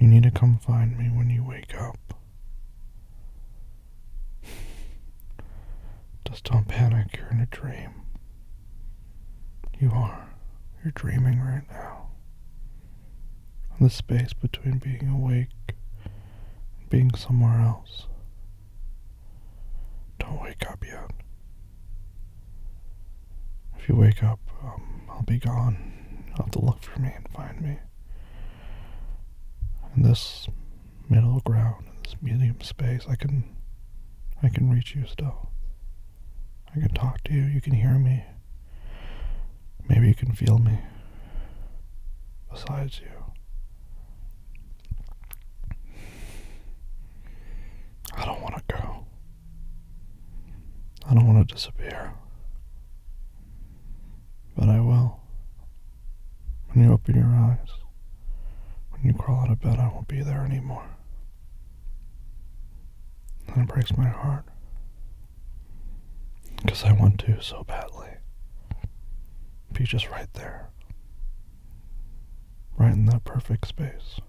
You need to come find me when you wake up. Just don't panic, you're in a dream. You are. You're dreaming right now. And the space between being awake and being somewhere else. Don't wake up yet. If you wake up, um, I'll be gone. You'll have to look for me and find me. In this middle ground, in this medium space, I can, I can reach you still. I can talk to you. You can hear me. Maybe you can feel me. Besides you. I don't want to go. I don't want to disappear. But I will. When you open your eyes, when you crawl out of bed, I won't be there anymore. And it breaks my heart. Because I want to so badly. Be just right there. Right in that perfect space.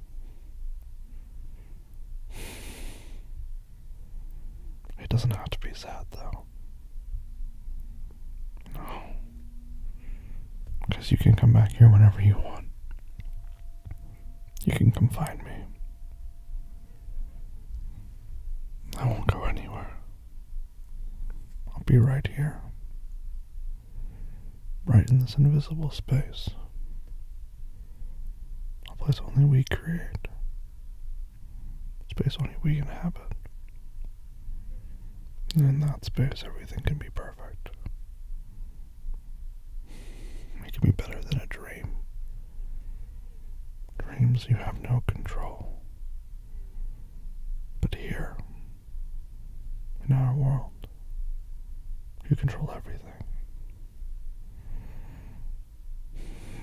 It doesn't have to be sad though. No. Because you can come back here whenever you want. You can come find me. I won't go anywhere. I'll be right here. Right in this invisible space. A place only we create. Space only we inhabit. And in that space, everything can be perfect. It can be better than a dream. Dreams you have no control. But here, in our world, you control everything.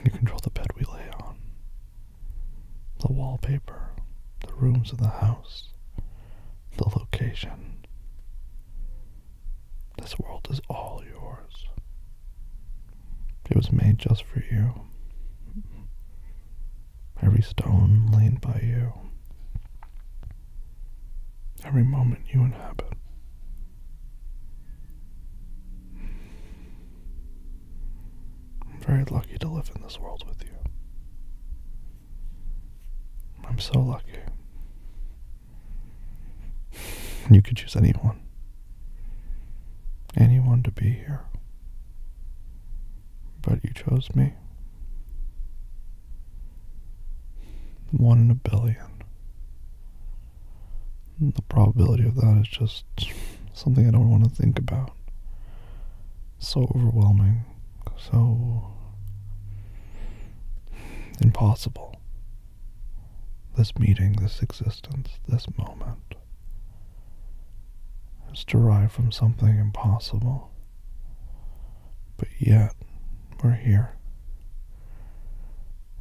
You control the bed we lay on, the wallpaper, the rooms of the house, the location. This world is all yours. It was made just for you. Every stone laid by you every moment you inhabit. I'm very lucky to live in this world with you. I'm so lucky. You could choose anyone. Anyone to be here. But you chose me. One in a billion. the probability of that is just something I don't want to think about. So overwhelming, so impossible. This meeting, this existence, this moment is derived from something impossible. But yet, we're here.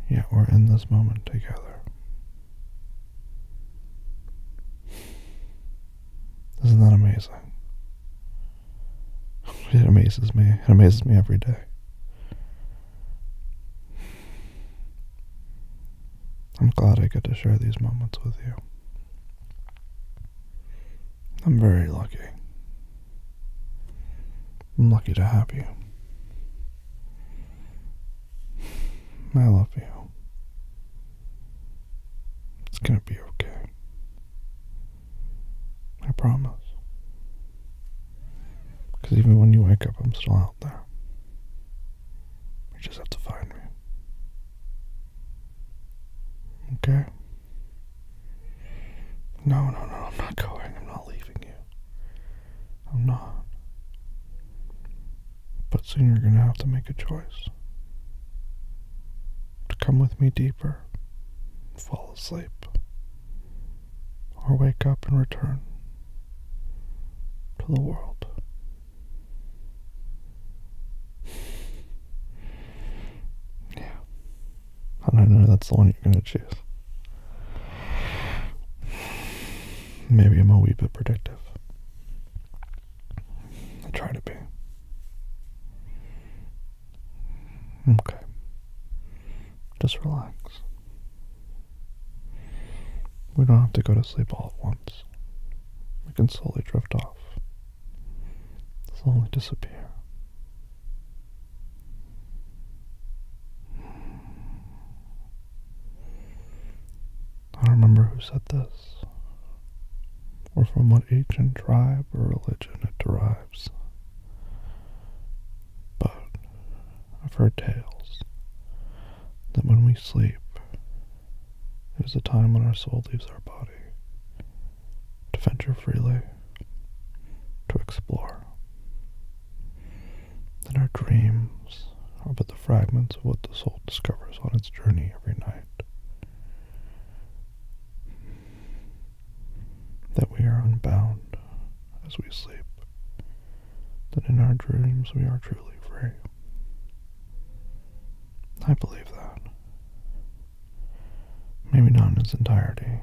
Yet, we're in this moment together. Isn't that amazing? It amazes me. It amazes me every day. I'm glad I get to share these moments with you. I'm very lucky. I'm lucky to have you. I love you. It's gonna be okay. I promise. Because even when you wake up, I'm still out there. You just have to find me. Okay? No, no, no, I'm not going. I'm not leaving you. I'm not. But soon you're going to have to make a choice to come with me deeper, fall asleep, or wake up and return to the world. yeah. I don't know, that's the one you're going to choose. Maybe I'm a wee bit predictive. I try to be. Okay. Just relax. We don't have to go to sleep all at once. We can slowly drift off slowly disappear. I don't remember who said this, or from what ancient tribe or religion it derives, but I've heard tales that when we sleep, it is a time when our soul leaves our body to venture freely, to explore. That our dreams are but the fragments of what the soul discovers on its journey every night. That we are unbound as we sleep, that in our dreams we are truly free. I believe that. Maybe not in its entirety,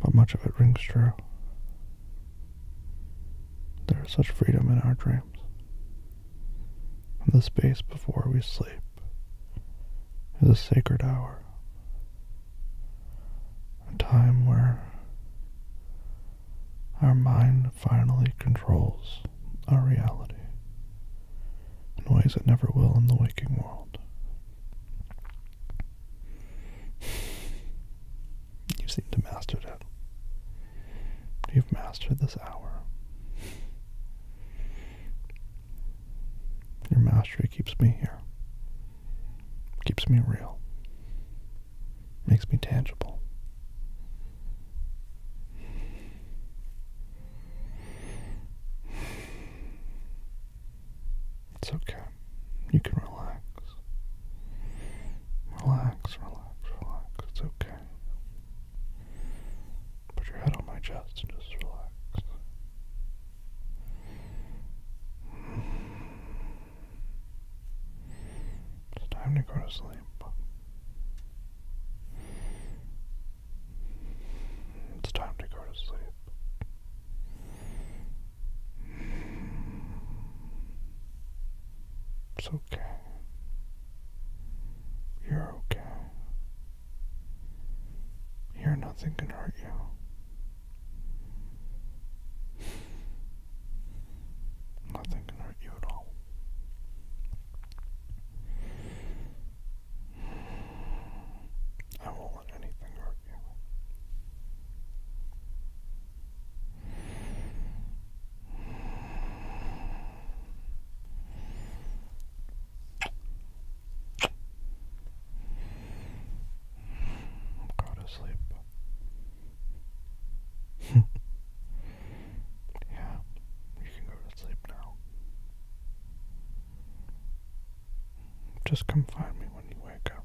but much of it rings true. There is such freedom in our dreams. the space before we sleep is a sacred hour, a time where our mind finally controls is our reality in ways it never will in the waking world. You seem to mastered it. You've mastered this hour. Your mastery keeps me here. Keeps me real. Makes me tangible. It's okay. You can relax. Relax, relax, relax. It's okay. Put your head on my chest and just relax. It's time to go to sleep. It's time to go to sleep. It's okay. You're okay. Here, nothing can hurt you. Nothing can hurt you at all. I won't let anything hurt Go to sleep. Yeah, you can go to sleep now. Just come find me when you wake up.